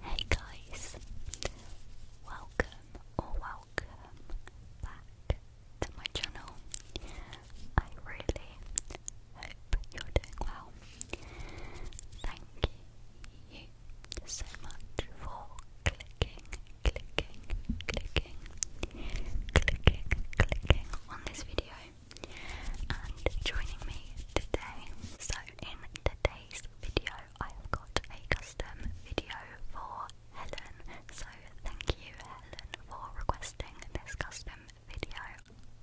Hey guys, welcome or welcome back to my channel. I really hope you're doing well. Thank you so much for clicking, clicking, clicking, clicking, clicking on this video and joining me today. So, in today's video, I've got a custom video for Helen. So, thank you, Helen, for requesting this custom video.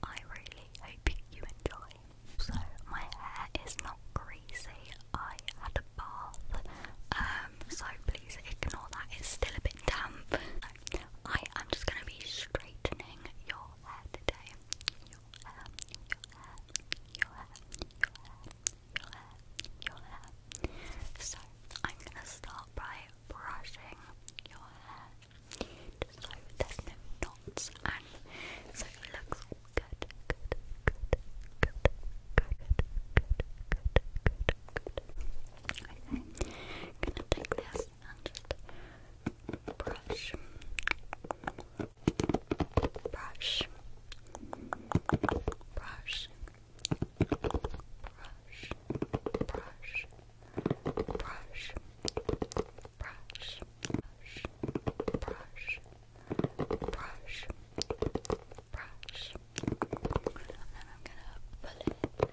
I really hope you enjoy. So, my hair is not greasy. I had a bath, um, so please ignore that. It's still a bit damp. I am just gonna be straightening your hair today. So I'm gonna start by brushing your hair just so there's no knots and so it looks all good, good, good, good, good, good, good, good, good. Okay. Gonna take this and brush, brush, brush, brush, brush, brush, brush. Brush, brush, brush, brush. And then I'm gonna pull it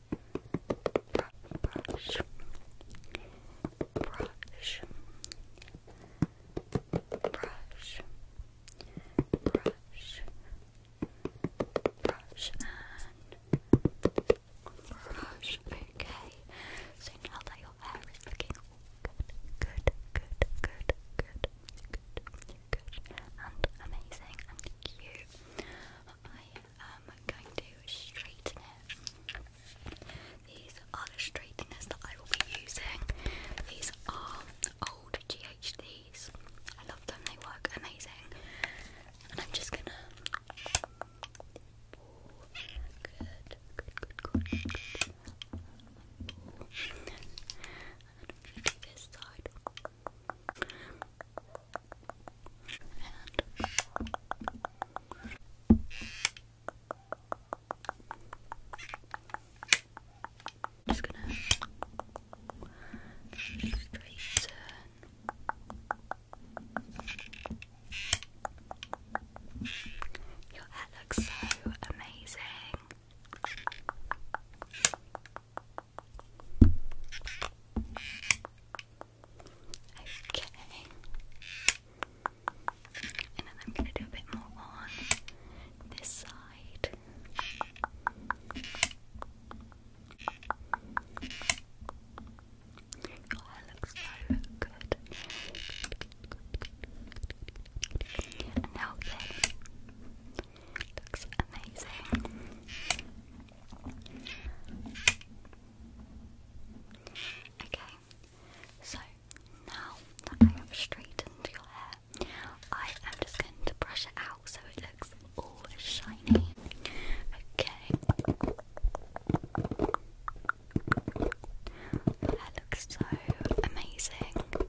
brush, brush, brush, brush, brush, and brush. Okay, so now that your hair is looking good, good, good, good, good, good and amazing and cute. I am going to straighten it. These are the straighteners that I will be using. These are old GHDs. I love them, they work amazing. And I'm just gonna. Good, good, good, good. good. And this side. And just gonna straight Your hair looks so amazing. Okay. And then I'm gonna do a bit more on this side. Your hair looks so good. now then, Looks amazing. Okay, so now that I your hair, I am just going to brush it out so it looks all shiny. Okay. Your looks so amazing.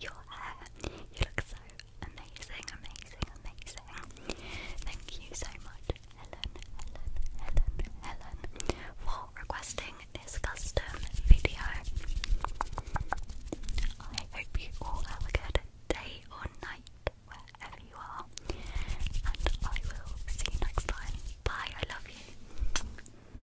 your hair. You look so amazing, amazing, amazing. Thank you so much, Helen, Helen, Helen, Helen, for requesting this custom video. I hope you have a good day or night wherever you are, and I will see you next time. Bye, I love you.